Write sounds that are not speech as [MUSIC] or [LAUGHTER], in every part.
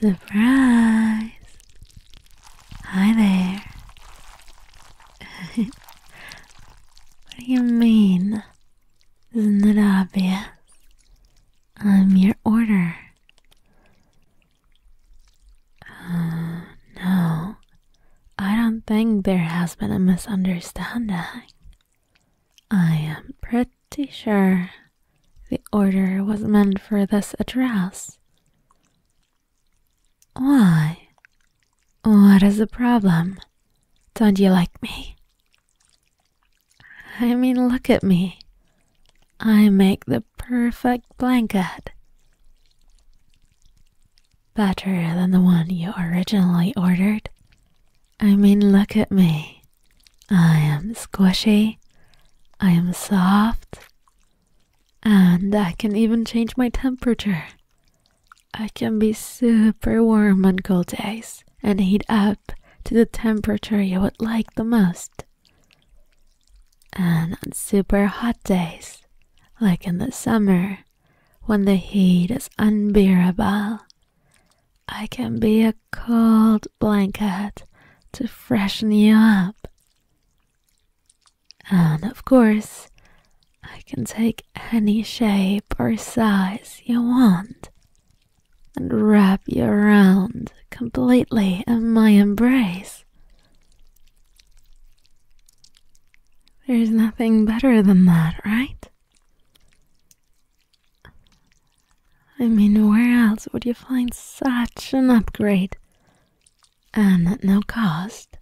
Surprise! Hi there. [LAUGHS] what do you mean? Isn't it obvious? I'm your order. Uh, no, I don't think there has been a misunderstanding. I am pretty sure the order was meant for this address. Why? What is the problem? Don't you like me? I mean, look at me. I make the perfect blanket. Better than the one you originally ordered. I mean, look at me. I am squishy. I am soft. And I can even change my temperature. I can be super warm on cold days and heat up to the temperature you would like the most. And on super hot days, like in the summer, when the heat is unbearable, I can be a cold blanket to freshen you up. And of course, I can take any shape or size you want and wrap you around completely in my embrace. There's nothing better than that, right? I mean, where else would you find such an upgrade? And at no cost.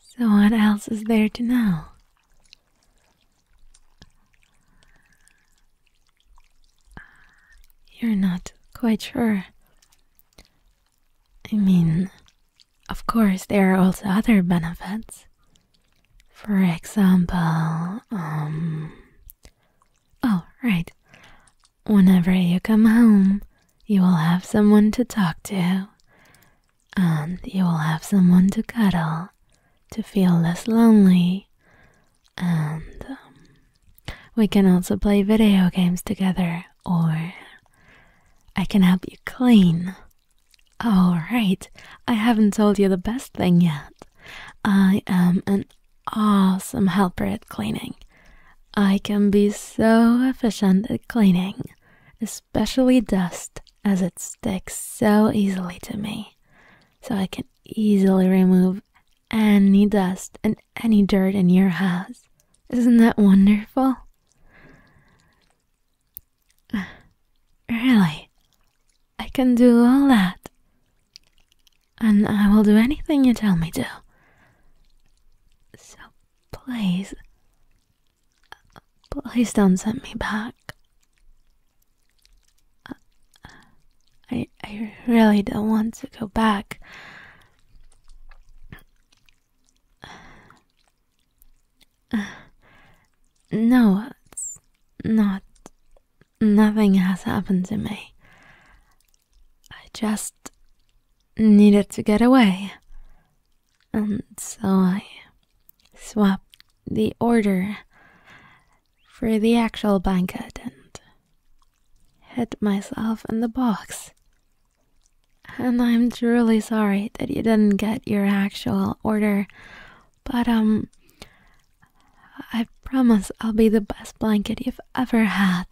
So, what else is there to know? You're not quite sure. I mean, of course, there are also other benefits. For example, um. Oh, right. Whenever you come home, you will have someone to talk to, and you will have someone to cuddle, to feel less lonely, and um, we can also play video games together, or I can help you clean. Alright, I haven't told you the best thing yet. I am an awesome helper at cleaning. I can be so efficient at cleaning, especially dust, as it sticks so easily to me so I can easily remove any dust and any dirt in your house. Isn't that wonderful? [SIGHS] Really, I can do all that, and I will do anything you tell me to. So please, please don't send me back. I, I really don't want to go back. No, it's not. Nothing has happened to me. I just needed to get away. And so I swap the order for the actual blanket and hit myself in the box. And I'm truly sorry that you didn't get your actual order, but um, I promise I'll be the best blanket you've ever had.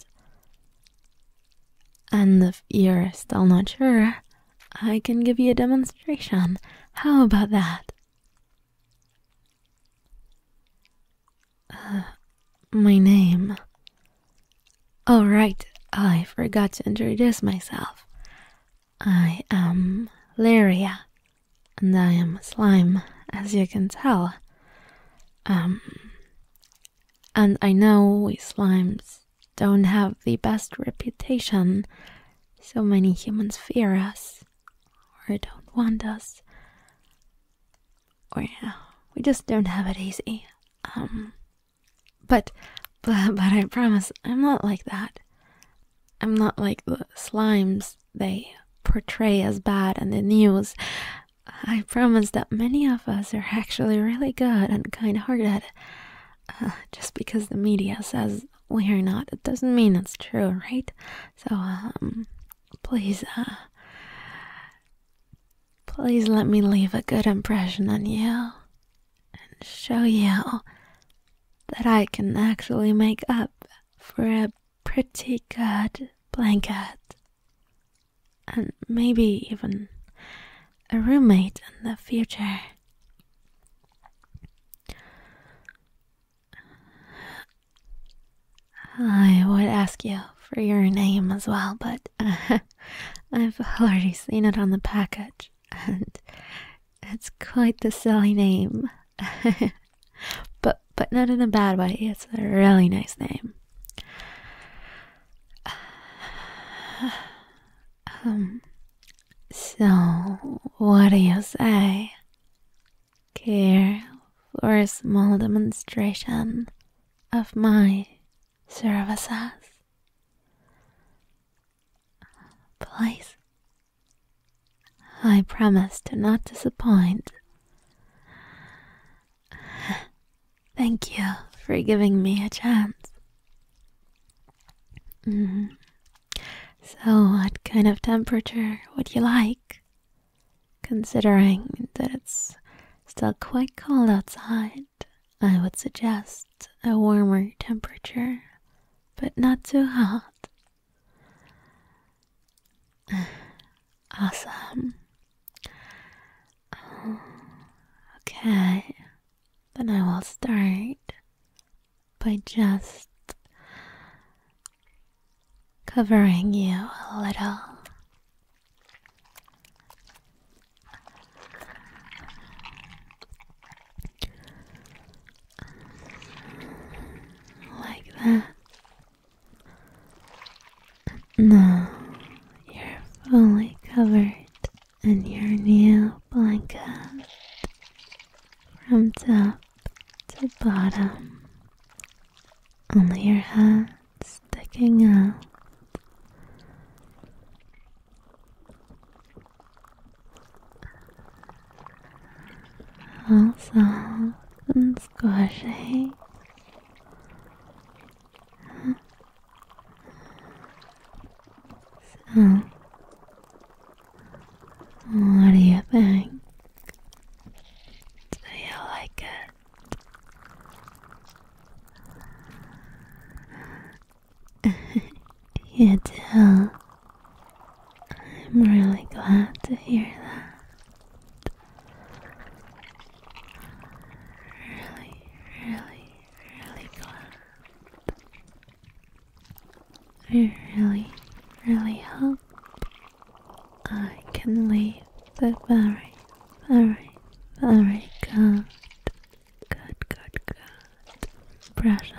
And if you're still not sure, I can give you a demonstration. How about that? Uh, my name. All oh, right, I forgot to introduce myself. I am Liria, and I am a slime, as you can tell. Um, and I know we slimes don't have the best reputation so many humans fear us, or don't want us, or yeah, we just don't have it easy. Um, but, but, but I promise I'm not like that. I'm not like the slimes they portray as bad in the news. I promise that many of us are actually really good and kind hearted. Uh, just because the media says we are not, it doesn't mean it's true, right? So, um, please, uh, please let me leave a good impression on you and show you that I can actually make up for a pretty good blanket and maybe even a roommate in the future. I would ask you for your name as well, but [LAUGHS] I've already seen it on the package, and it's quite the silly name. [LAUGHS] but but not in a bad way. It's a really nice name. [SIGHS] Um, so, what do you say? Care for a small demonstration of my services? Please. I promise to not disappoint. Thank you for giving me a chance. Mm-hmm. So, what kind of temperature would you like? Considering that it's still quite cold outside, I would suggest a warmer temperature, but not too hot. [SIGHS] Awesome. Okay then I will start by just covering you a little. Like that. Now you're fully covered and your new blanket from top to bottom, only your head sticking out. All soft and squishy. So, what do you think? Do you like it? [LAUGHS] you do. I'm really glad to hear that. Really, really, really glad. I really, really hope I can leave a very, very, very good, good, good, good impression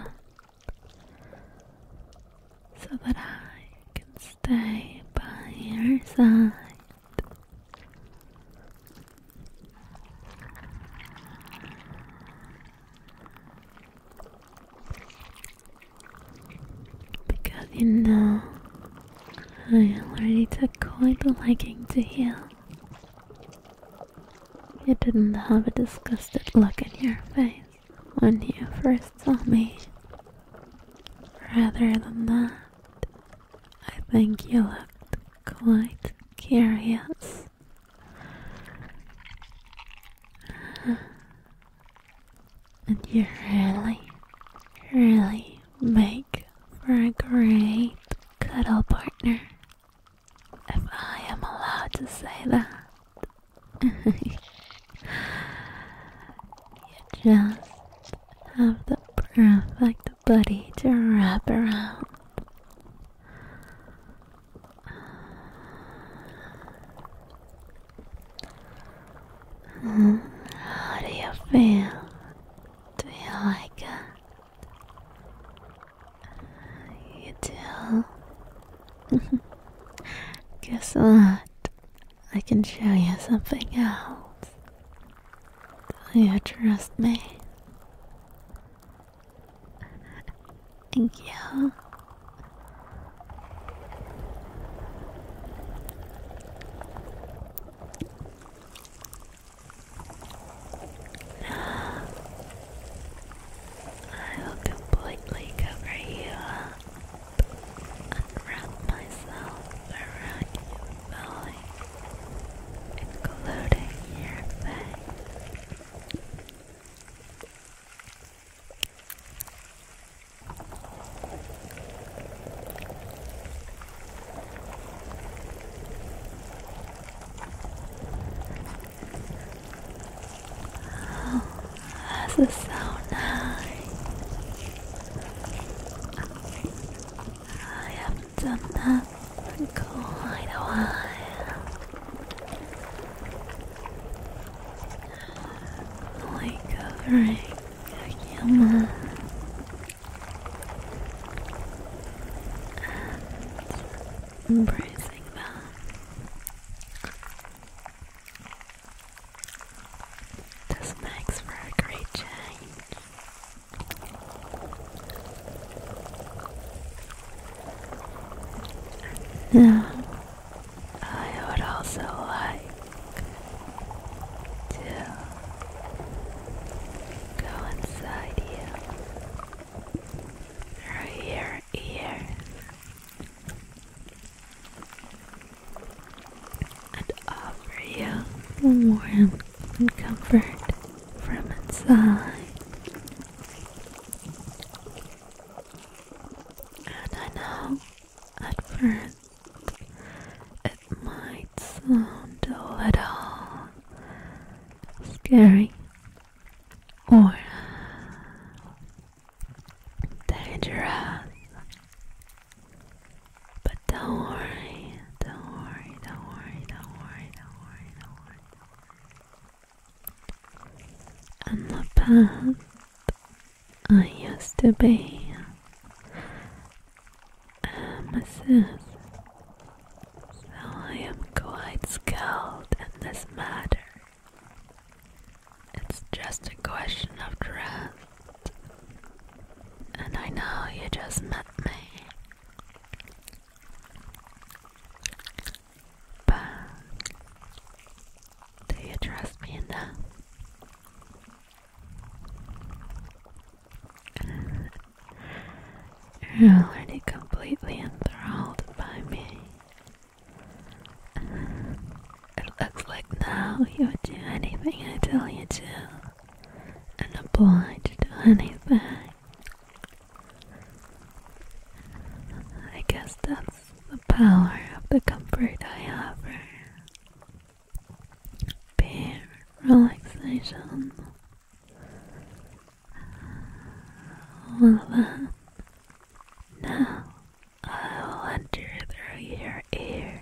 so that I can stay by your side because you know, I already took quite a liking to you. You didn't have a disgusted look in your face when you first saw me. Rather than that, I think you looked quite curious and you really, really make for a great cuddle partner. If I am allowed to say that. [LAUGHS] you just have the perfect buddy to wrap around. Mm, how do you feel? Do you like it? You do? [LAUGHS] Guess what? I can show you something else. Do you trust me? Thank you. I will completely cover you and wrap myself around your including your face. Oh, this so nice. I am done that for a while. Like covering a human. And embracing them. This makes for a great now, I would also like to go inside you through your ears and offer you warm and comfort from inside. And I know at first it might sound a little scary or dangerous. But don't worry, don't worry, don't worry, don't worry, don't worry, and the path I used to be a masseuse, so I am quite skilled in this matter. It's just a question of trust, and I know you just met me, but do you trust me enough? You're already completely enthralled by me. It looks like now you would do anything I tell you to and oblige to anything. I guess that's the power of the comfort I offer. Bare relaxation. All Now I will enter through your ear.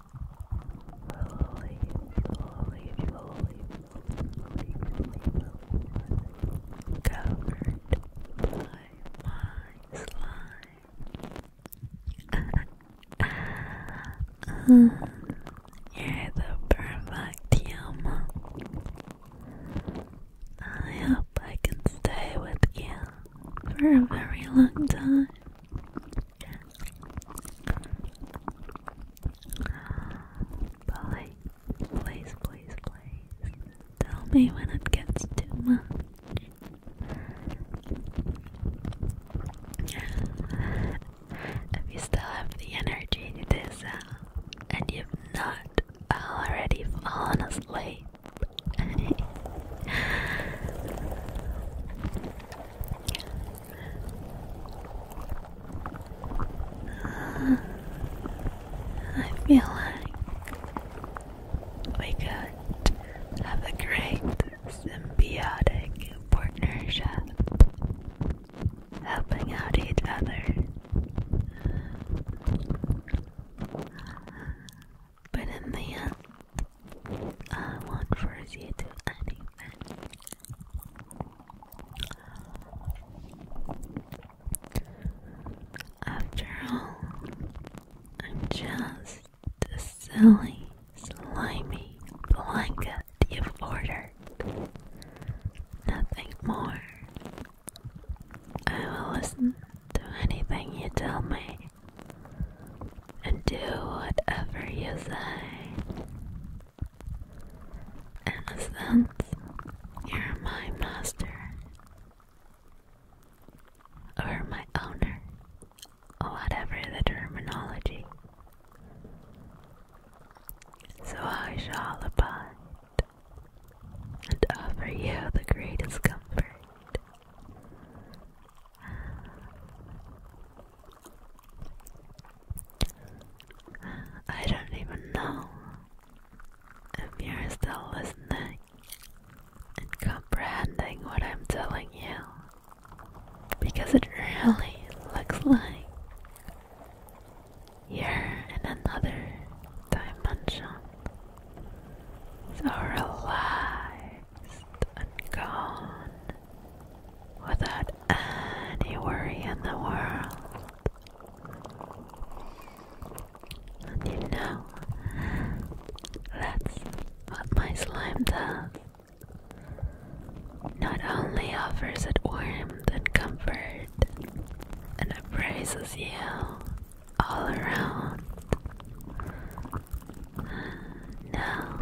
covered by my slime. you're the perfect human. I hope I can stay with you for a very long time. Boy, please, please, please. Tell me when it gets too much. If you still have the energy to do so, and you've not already fallen asleep, I feel like we could have a great symbiotic partnership, helping out each other. But in the end, I won't force you to anything. After all, I'm just the silly, slimy blanket you've Nothing more. I will listen to anything you tell me and do whatever you say. In a sense, you're my master, or my owner, whatever the terminology. So I shall abide and offer you the greatest comfort [SIGHS] I don't even know if you're still listening and comprehending what I'm telling you because it really looks like you're in another dimension. So and gone without any worry in the world. And you know, that's what my slime does. Not only offers it warmth and comfort, and appraises you all around. Now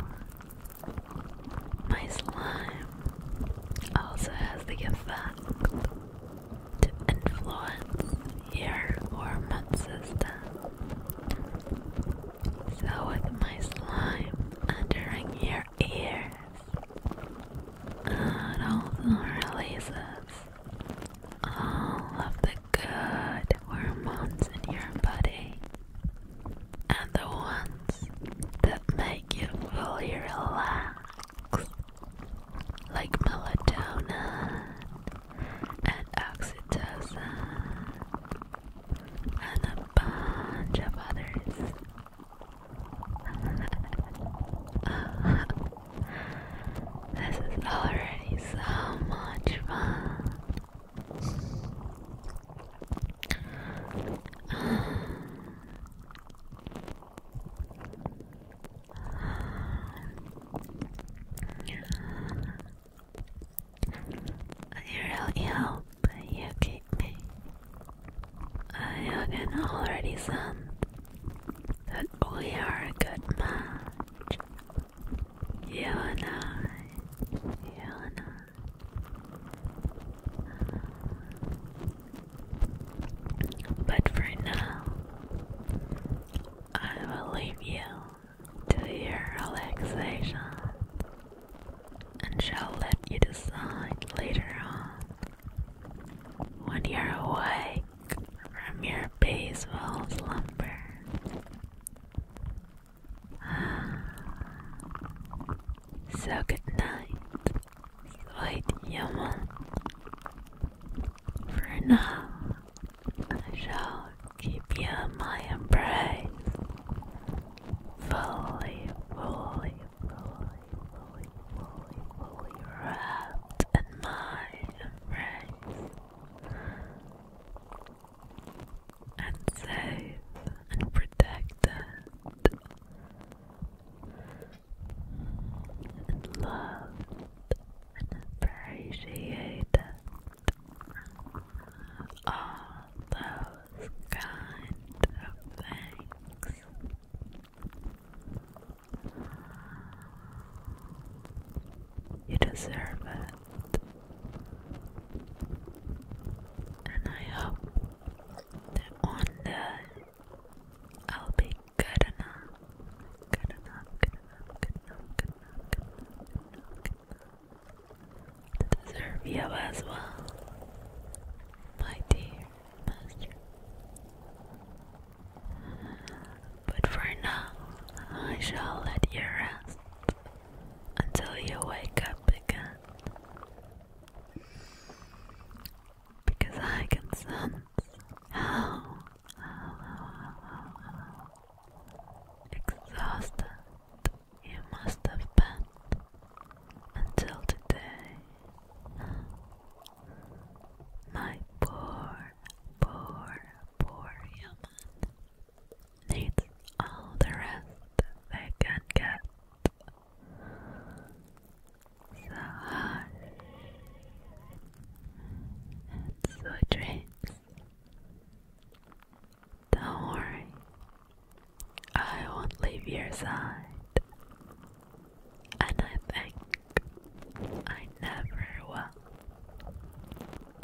my slime also has the effect to influence your hormone system. So, with my slime entering your ears, it also releases all of the good hormones in your body and the ones that make you feel relaxed, like melatonin and oxytocin and a bunch of others. [LAUGHS] this is already so much fun. I really hope you keep I can already sense that we are a good match. You and I, you and I. But for now, I will leave you to your relaxation and shall let you decide later on when you're awake from your peaceful slumber. So good night, sweet human. For now, I shall keep you in my embrace. Fully, fully, fully, fully, fully, fully wrapped in my embrace and safe and protected and loved and appreciated. All those kind of things. You deserve it. And I hope that one day I'll be good enough. Good enough, good enough, good enough, good enough, good enough, good enough, To deserve you as well, my dear master. But for now, I shall let you rest until you wake up again. Because I can sense how, how, how, how, how exhausted you must have been until today. My poor, poor, poor human needs all the rest they can get. So hush and sweet Don't worry, I won't leave your side. And I think I never will.